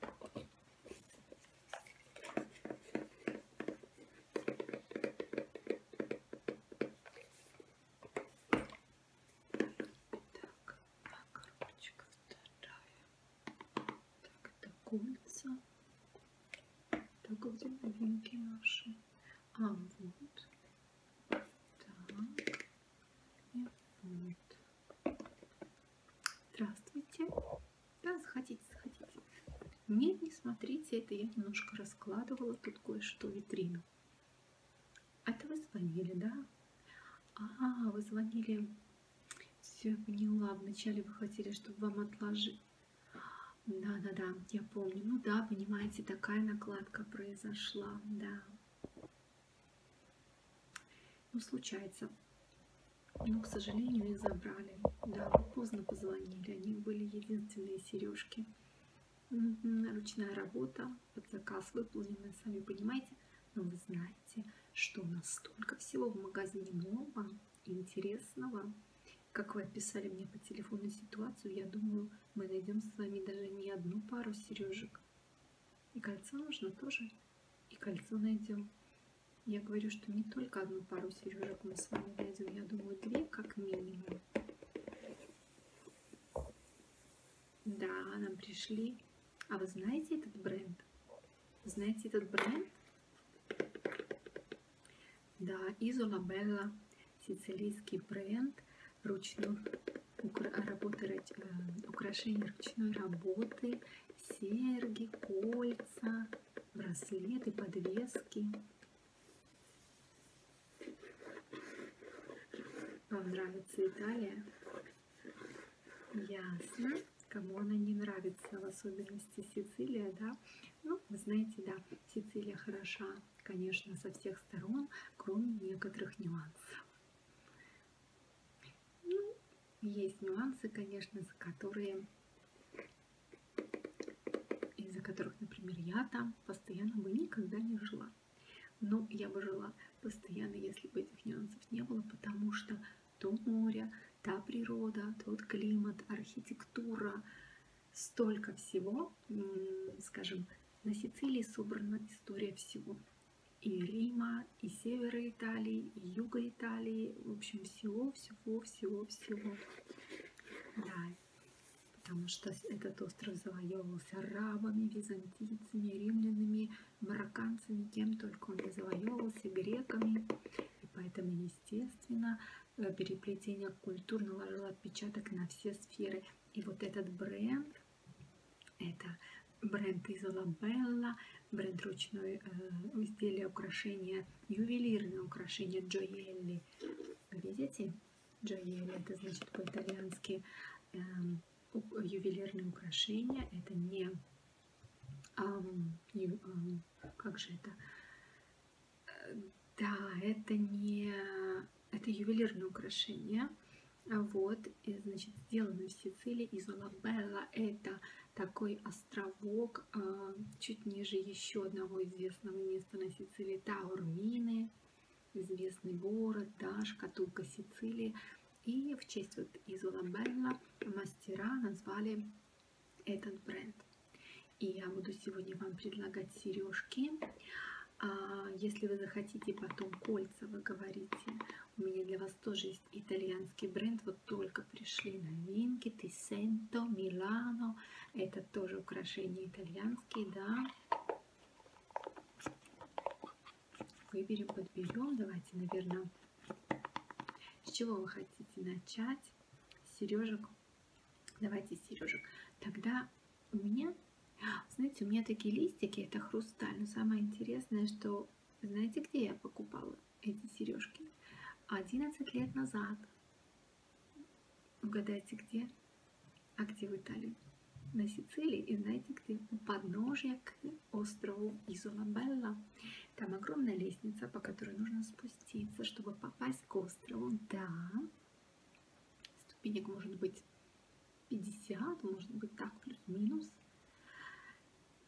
Так, окорочка а вторая. Так, это курица. Так, где новинки наши? А, вот. Так, и вот. Здравствуйте. Да, заходите, заходите. Нет, не смотрите, это я немножко раскладывала тут кое-что витрину. Это а вы звонили, да? А, вы звонили. Все, я поняла. Вначале вы хотели, чтобы вам отложить. Да, да, да, я помню. Ну да, понимаете, такая накладка произошла, да. Ну, случается. Но, ну, к сожалению, их забрали. Да, поздно позвонили. У них были единственные сережки. Ручная работа, под заказ выполнена, сами понимаете. Но вы знаете, что у нас столько всего в магазине нового и интересного. Как вы описали мне по телефону ситуацию, я думаю, мы найдем с вами даже не одну пару сережек. И кольцо нужно тоже. И кольцо найдем. Я говорю, что не только одну пару сережек мы с вами найдем. Я думаю, две как минимум. Да, нам пришли. А вы знаете этот бренд? Знаете этот бренд? Да, Изола Белла, сицилийский бренд ручной работы, э, украшений ручной работы серьги, кольца, браслеты, подвески. Вам нравится Италия? Ясно. Кому она не нравится, в особенности Сицилия, да? Ну, вы знаете, да, Сицилия хороша, конечно, со всех сторон, кроме некоторых нюансов. Ну, есть нюансы, конечно, за которые из-за которых, например, я там постоянно бы никогда не жила. Но я бы жила постоянно, если бы этих нюансов не было, потому что то море, та природа, тот климат, архитектура, столько всего, скажем, на Сицилии собрана история всего и Рима, и севера Италии, и юга Италии, в общем, всего, всего, всего, всего. Да, потому что этот остров завоевывался арабами, византийцами, римлянами, марокканцами, кем только он не завоевывался, греками. И поэтому, естественно, э, переплетение культур наложило отпечаток на все сферы. И вот этот бренд, это бренд Изолабелла, бренд ручной э, изделия, украшения, ювелирные украшения Джоелли. Видите? Джоелли, это значит по-итальянски э, ювелирные украшения. Это не... как же это? Да, это не... Это ювелирные украшения. Вот, и, значит, сделаны в Сицилии из Лабелла. Это такой островок а, чуть ниже еще одного известного места на Сицилии Таурмины, известный город, да, шкатулка Сицилии. И в честь вот Изола Белла мастера назвали этот бренд. И я буду сегодня вам предлагать сережки. А если вы захотите потом кольца, вы говорите, у меня для вас тоже есть итальянский бренд, вот только пришли новинки, Тисенто, Милано, это тоже украшения итальянские, да. Выберем, подберем, давайте, наверное, с чего вы хотите начать, сережек, давайте сережек, тогда у меня, знаете, у меня такие листики, это хрусталь, но самое интересное, что знаете, где я покупала? эти сережки. 11 лет назад. Угадайте где? А где в Италии? На Сицилии и знаете где? У подножья к острову Изолабелла. Там огромная лестница, по которой нужно спуститься, чтобы попасть к острову. Да, ступенек может быть 50, может быть так, плюс-минус.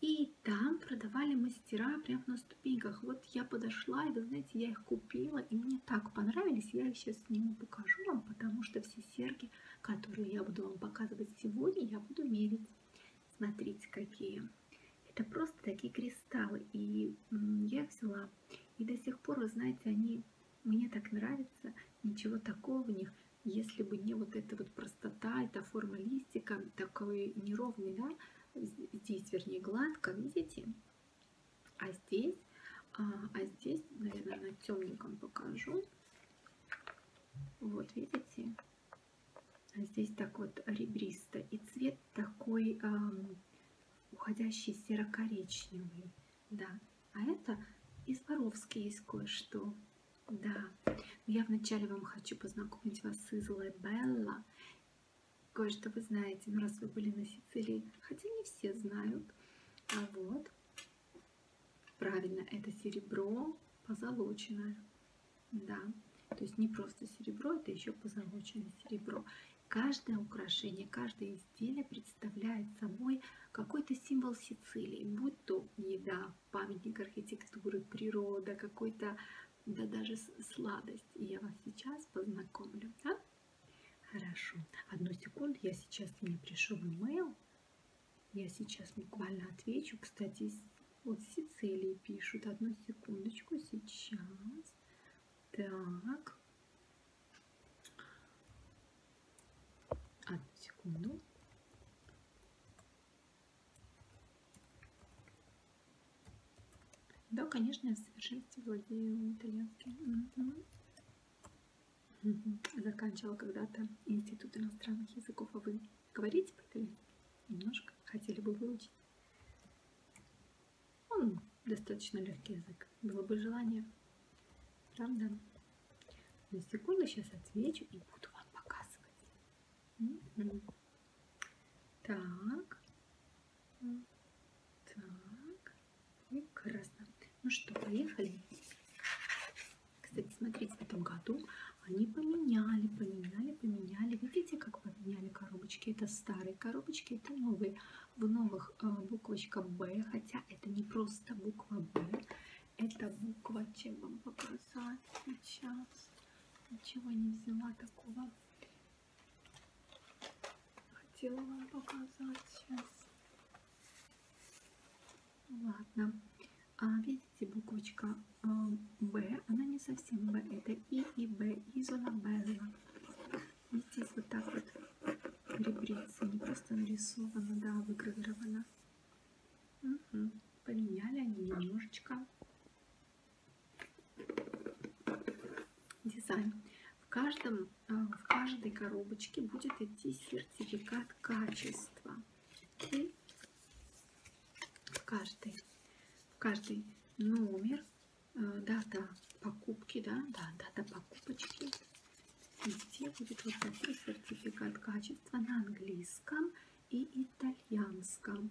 И там продавали мастера прямо на ступеньках. Вот я подошла, и вы знаете, я их купила, и мне так понравились. Я их сейчас сниму, покажу вам, потому что все серьги, которые я буду вам показывать сегодня, я буду мерить. Смотрите, какие. Это просто такие кристаллы, и я их взяла. И до сих пор, вы знаете, они мне так нравятся, ничего такого в них, если бы не вот это вот вот простота, это формалистика, такой неровный, да, здесь, вернее, гладко, видите? А здесь, а, а здесь, наверное, на темненьком покажу. Вот, видите? А здесь так вот ребристо. И цвет такой а, уходящий серо-коричневый, да. А это из Воровски есть кое-что. Да, я вначале вам хочу познакомить вас с Излой Белла. Кое-что вы знаете, ну раз вы были на Сицилии, хотя не все знают. А вот, правильно, это серебро позолоченное. Да, то есть не просто серебро, это еще позолоченное серебро. Каждое украшение, каждое изделие представляет собой какой-то символ Сицилии, будь то еда, памятник архитектуры, природа, какой-то, да даже сладость. И я вас сейчас познакомлю, да? Хорошо. Одну секунду, я сейчас мне пришел имейл. Я сейчас буквально отвечу. Кстати, вот Сицилии пишут. Одну секундочку, сейчас. Так. Одну секунду. Да, конечно, я в совершенстве владею итальянским. Угу. Угу. Заканчивала когда-то институт иностранных языков, а вы говорите по-итальянски? Немножко хотели бы выучить. Он достаточно легкий язык. Было бы желание. Правда? На секунду сейчас отвечу и буду вам показывать. Так. Так. Прекрасно. Ну что, поехали. Кстати, смотрите, в этом году они поменяли, поменяли, поменяли. Видите, как поменяли коробочки? Это старые коробочки, это новые. В новых э, буквочка Б, хотя это не просто буква Б, это буква, чем вам показать сейчас ничего не взяла такого. Хотела вам показать сейчас. Ладно. А видите, буквочка а, Б, она не совсем Б, это И и Б, Изола Белла. И здесь вот так вот ребрица, не просто нарисована, да, выгравирована. Угу. Поменяли они немножечко. Дизайн. В, каждом, э, в каждой коробочке будет идти сертификат качества. И в каждой, в каждый номер, э, дата покупки, да, да, дата покупочки. Везде будет вот такой сертификат качества на английском и итальянском.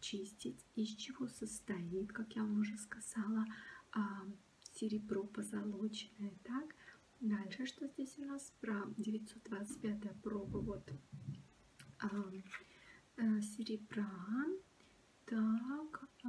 чистить, из чего состоит, как я вам уже сказала, а, серебро позолоченное, так. Дальше, что здесь у нас про 925 проба вот а, а, серебра. Так, а,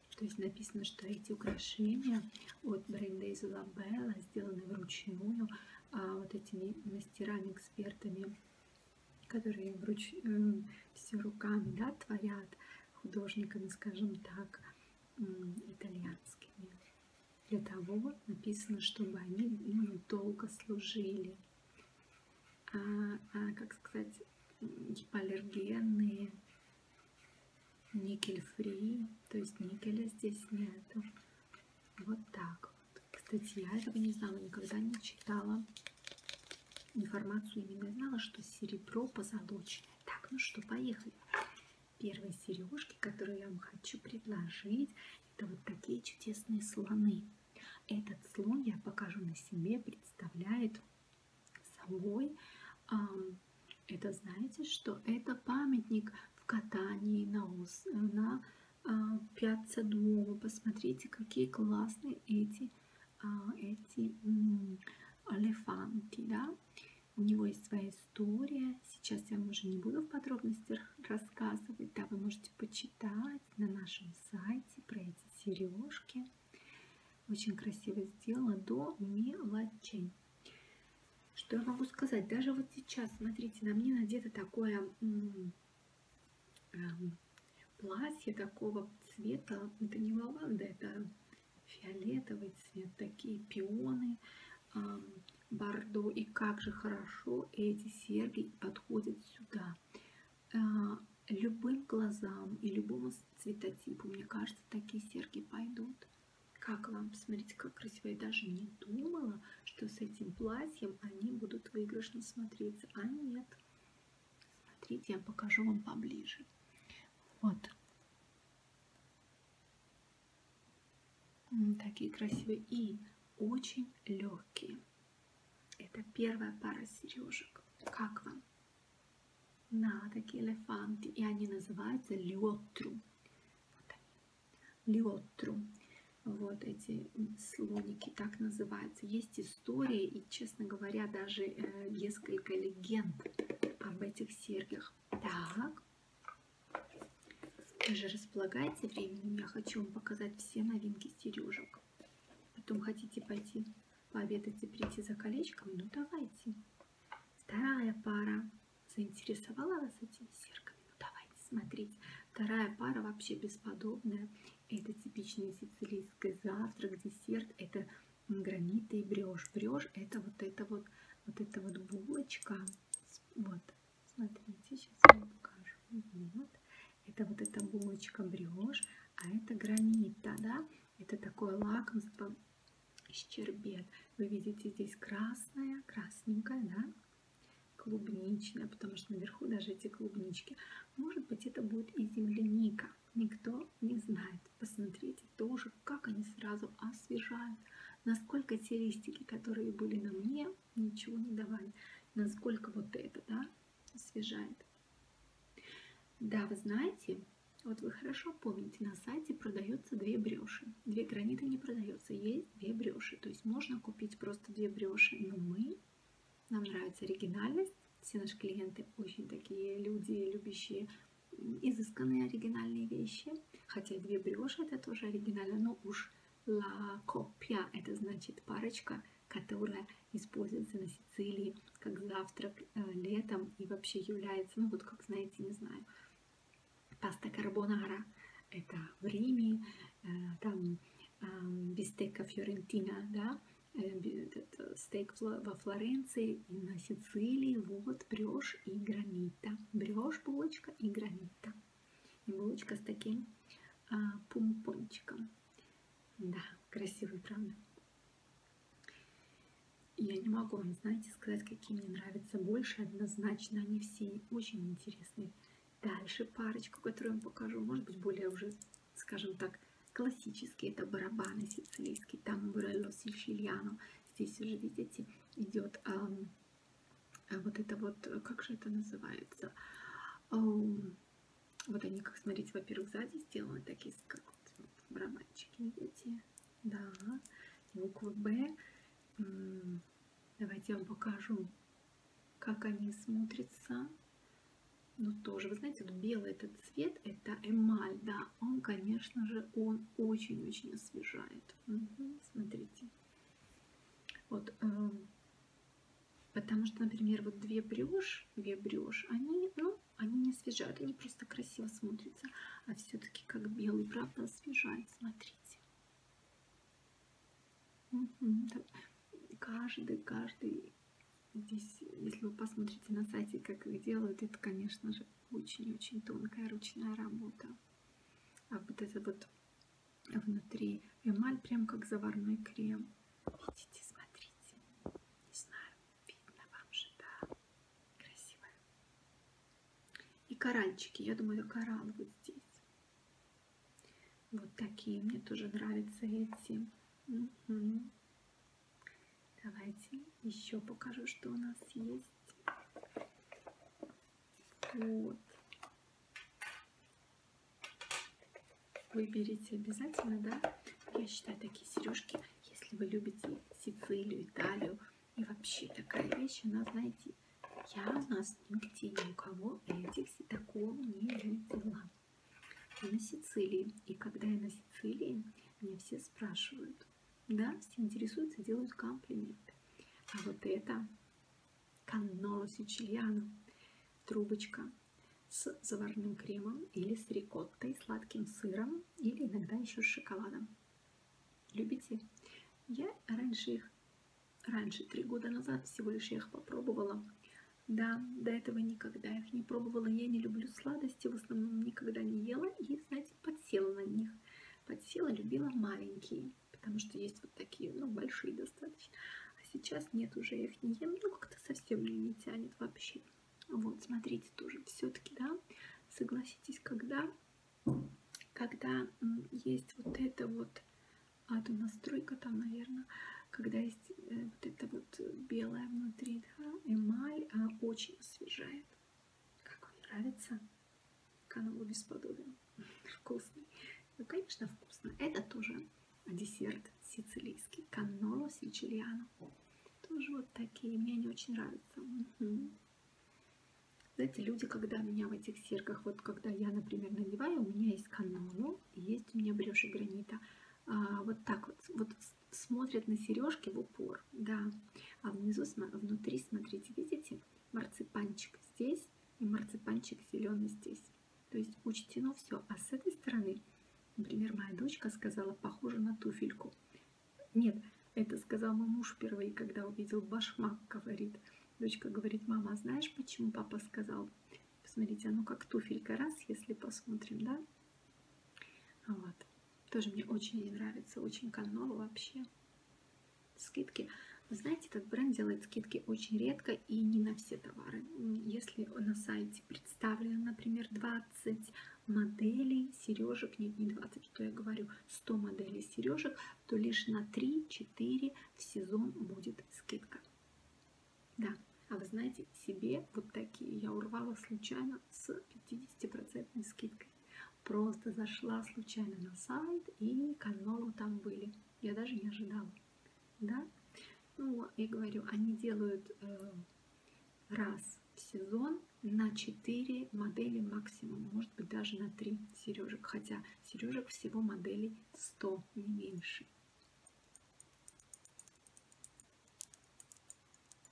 То есть написано, что эти украшения от бренда Изолабелла сделаны вручную, а вот этими мастерами-экспертами, которые вруч... все руками да, творят, художниками, скажем так, итальянскими. Для того написано, чтобы они ну, долго служили. А, а, как сказать, гипоаллергенные никель фри, то есть никеля здесь нету. Вот так вот. Кстати, я этого не знала, никогда не читала информацию, именно знала, что серебро позолоченное. Так, ну что, поехали. Первые сережки, которые я вам хочу предложить, это вот такие чудесные слоны. Этот слон я покажу на себе, представляет собой это знаете что? Это памятник в катании на, ус, на а, Пьяцца Дуомо. Посмотрите, какие классные эти, а, эти м -м, элефанты, да? У него есть своя история. Сейчас я вам уже не буду в подробностях рассказывать. Да, вы можете почитать на нашем сайте про эти сережки. Очень красиво сделано до мелочей. Что я могу сказать? Даже вот сейчас, смотрите, на мне надето такое эм, платье такого цвета. Это не лаванда, это фиолетовый цвет, такие пионы, бордо. И как же хорошо эти серьги подходят сюда. А, любым глазам и любому цветотипу, мне кажется, такие серьги пойдут. Как вам? Посмотрите, как красиво. Я даже не думала, что с этим платьем они будут выигрышно смотреться. А нет. Смотрите, я покажу вам поближе. Вот. Такие красивые и очень легкие. Это первая пара сережек. Как вам? На такие элефанты. И они называются летру. Вот они. Леотру. Вот эти слоники, так называются. Есть истории и, честно говоря, даже э, несколько легенд об этих серьгах. Так. Вы же располагаете временем. Я хочу вам показать все новинки сережек. Потом хотите пойти пообедать и прийти за колечком? Ну, давайте. Вторая пара. Заинтересовала вас этими серками? Ну давайте смотрите. Вторая пара вообще бесподобная. Это типичное сицилийское завтрак, десерт. Это граниты и брешь. Брешь это вот это вот, вот это вот булочка. Вот, смотрите, сейчас я вам покажу. Вот. Это вот эта булочка брешь, а это гранита, да? Это такое лакомство щербет. Вы видите здесь красное, красненькое, да? клубничная, потому что наверху даже эти клубнички. Может быть, это будет и земляника. Никто не знает. Посмотрите тоже, как они сразу освежают. Насколько те листики, которые были на мне, ничего не давали. Насколько вот это, да, освежает. Да, вы знаете, вот вы хорошо помните, на сайте продается две бреши. Две граниты не продается, есть две бреши. То есть можно купить просто две бреши, но мы, нам нравится оригинальность. Все наши клиенты очень такие люди, любящие изысканные оригинальные вещи. Хотя две бреши это тоже оригинально, но ну уж ла копья это значит парочка, которая используется на Сицилии как завтрак э, летом и вообще является, ну вот как знаете, не знаю, паста карбонара, это в Риме, э, там а, бистека фьорентина, да, э, стейк во Флоренции и на Сицилии, вот брешь и гранита, брешь булочка и гранита, и булочка с таким а, пумпончиком, да, красивый, правда? Я не могу не знаете сказать, какие мне нравятся больше, однозначно они все очень интересные. Дальше парочку, которую я вам покажу, может быть более уже, скажем так, классические. Это барабаны сицилийские, там Бурелло Сичильяно. Здесь уже, видите, идет а, а э, вот это вот, э, как же это называется? А, вот они, как смотрите, во-первых, сзади сделаны такие, как вот, барабанчики, видите? Да, буква Б. Давайте я вам покажу, как они смотрятся. Ну, тоже, вы знаете, вот ну, белый этот цвет, это эмаль, да, он, конечно же, он очень-очень освежает. Угу, смотрите. Вот, э, потому что, например, вот две брешь, две брешь, они, ну, они не освежают, они просто красиво смотрятся, а все-таки как белый, правда, освежает, смотрите. Каждый, каждый здесь, если вы посмотрите на сайте, как их делают, это, конечно же, очень-очень тонкая ручная работа. А вот это вот внутри эмаль прям как заварной крем. Видите, смотрите. Не знаю, видно вам же, да? Красивая. И коральчики, я думаю, коралл вот здесь. Вот такие мне тоже нравятся эти. Угу. Давайте еще покажу, что у нас есть. Вот. Выберите обязательно, да? Я считаю такие сережки, если вы любите Сицилию, Италию, и вообще такая вещь, она, знаете, я у нас нигде ни у кого этих такого не видела. Я на Сицилии. И когда я на Сицилии, меня все спрашивают. Да, все интересуются, делают комплименты. А вот это канноло сичильяно. Трубочка с заварным кремом или с рикоттой, сладким сыром или иногда еще с шоколадом. Любите? Я раньше их, раньше, три года назад всего лишь я их попробовала. Да, до этого никогда их не пробовала. Я не люблю сладости, в основном никогда не ела. И, знаете, подсела на них. Подсела, любила маленькие, потому что есть вот такие, ну, большие достаточно. А сейчас нет, уже я их не ем. Ну, как-то совсем мне не тянет вообще. Вот, смотрите, тоже все-таки, да, согласитесь, когда когда есть э, вот это вот, а то настройка там, наверное, когда есть вот это вот белая внутри, да, эмаль, а очень освежает. Как вам нравится? Канал бесподобен. Вкусный. Ну, конечно, вкусно. Это тоже десерт сицилийский. Канноло сичилиано. Тоже вот такие. Мне они очень нравятся. Угу. Знаете, люди, когда меня в этих серках, вот когда я, например, надеваю, у меня есть канону, есть у меня бреши гранита, а, вот так вот, вот смотрят на сережки в упор, да. А внизу, внутри, смотрите, видите, марципанчик здесь и марципанчик зеленый здесь. То есть учтено все. А с этой стороны, например, моя дочка сказала, похоже на туфельку. Нет, это сказал мой муж впервые, когда увидел башмак, говорит – Дочка говорит, мама, а знаешь, почему папа сказал? Посмотрите, оно как туфелька, раз, если посмотрим, да? А вот. Тоже мне очень не нравится, очень канно вообще. Скидки. Вы знаете, этот бренд делает скидки очень редко и не на все товары. Если на сайте представлено, например, 20 моделей сережек, нет, не 20, что я говорю, 100 моделей сережек, то лишь на 3-4 в сезон будет скидка. Да, а вы знаете, себе вот такие я урвала случайно с 50% скидкой. Просто зашла случайно на сайт и канолу там были. Я даже не ожидала. Да? Ну, я говорю, они делают э, раз в сезон на 4 модели максимум, может быть даже на 3 сережек. Хотя Сережек всего моделей 100, не меньше.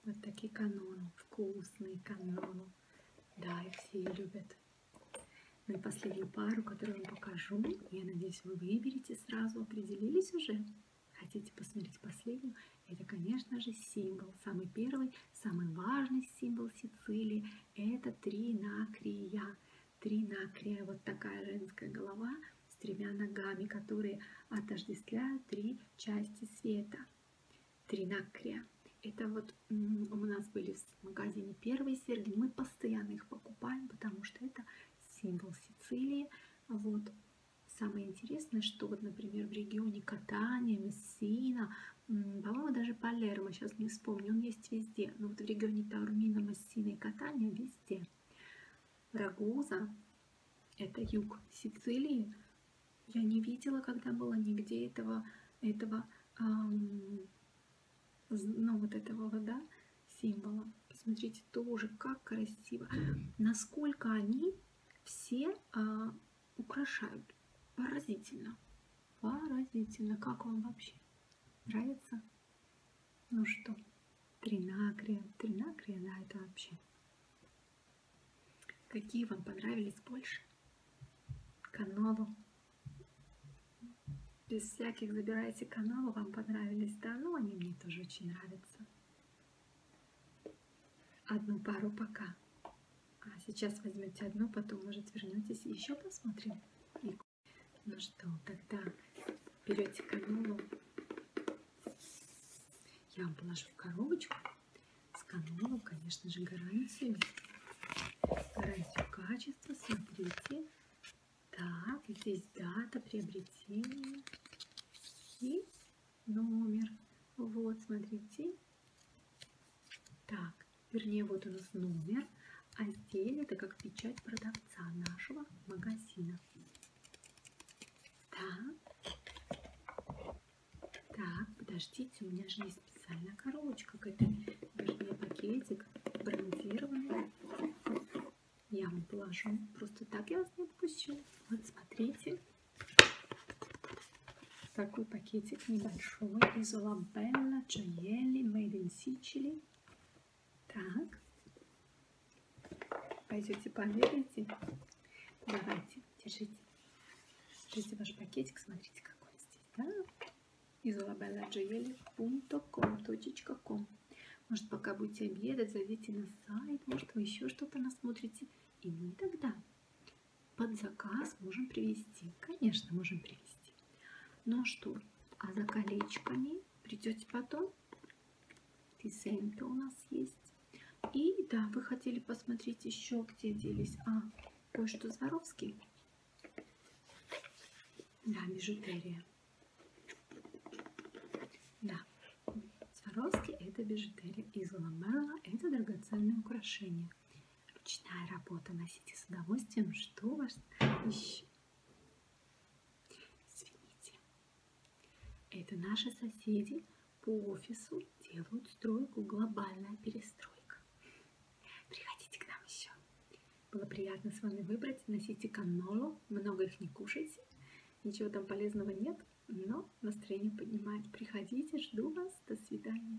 Вот такие каноны, вкусные каноны. Да, их все любят. Ну и последнюю пару, которую вам покажу, я надеюсь, вы выберете сразу, определились уже? Хотите посмотреть последнюю? Это, конечно же, символ, самый первый, самый важный символ Сицилии – это тринакрия. Тринакрия – вот такая женская голова с тремя ногами, которые отождествляют три части света. Тринакрия. Это вот у нас были в магазине первые серьги, мы постоянно их покупаем, потому что это символ Сицилии. Вот. Самое интересное, что вот, например, в регионе Катания, Мессина – по-моему, даже Палермо, сейчас не вспомню, он есть везде. Но вот в регионе Таурмина, Массина и Катания везде. Рагуза, это юг Сицилии, я не видела, когда было нигде этого, этого эм, ну, вот этого вода символа. Посмотрите, тоже как красиво. Насколько они все э, украшают. Поразительно. Поразительно, как вам вообще? Нравится? Ну что, тринакрия, тринакрия, да, это вообще. Какие вам понравились больше? Канаву. Без всяких забирайте канаву, вам понравились, да? Ну, они мне тоже очень нравятся. Одну пару пока. А сейчас возьмете одну, потом, может, вернетесь и еще посмотрим. Ну что, тогда берете канулу, я вам положу в коробочку. С канулу, конечно же, гарантию. Гарантию качества, смотрите. Так, здесь дата приобретения и номер. Вот, смотрите. Так, вернее вот у нас номер, а изделие это как печать продавца нашего магазина. Так, так, подождите, у меня же есть специальная коробочка к этой, вернее пакетик брендированный. Я вам положу, просто так я вас не отпущу. Вот смотрите, такой пакетик небольшой из Лабелла Джоели Made in сичелей. Так. Пойдете померяйте. Давайте, держите. Держите ваш пакетик, смотрите, какой здесь, да? isolabellagioele.com.com Может, пока будете обедать, зайдите на сайт, может, вы еще что-то насмотрите. И мы тогда под заказ можем привезти. Конечно, можем привезти. Ну что, а за колечками придете потом. Дизайн-то у нас есть. И да, вы хотели посмотреть еще, где делись. А, кое-что Зворовский. Да, бижутерия. Да, Сваровский – это бижутерия из ламела, это драгоценные украшения. Ручная работа. Носите с удовольствием. Что вас еще? Извините. Это наши соседи по офису делают стройку «Глобальная перестройка». Приходите к нам еще. Было приятно с вами выбрать. Носите канолу, много их не кушайте. Ничего там полезного нет, но настроение поднимает. Приходите, жду вас. До свидания.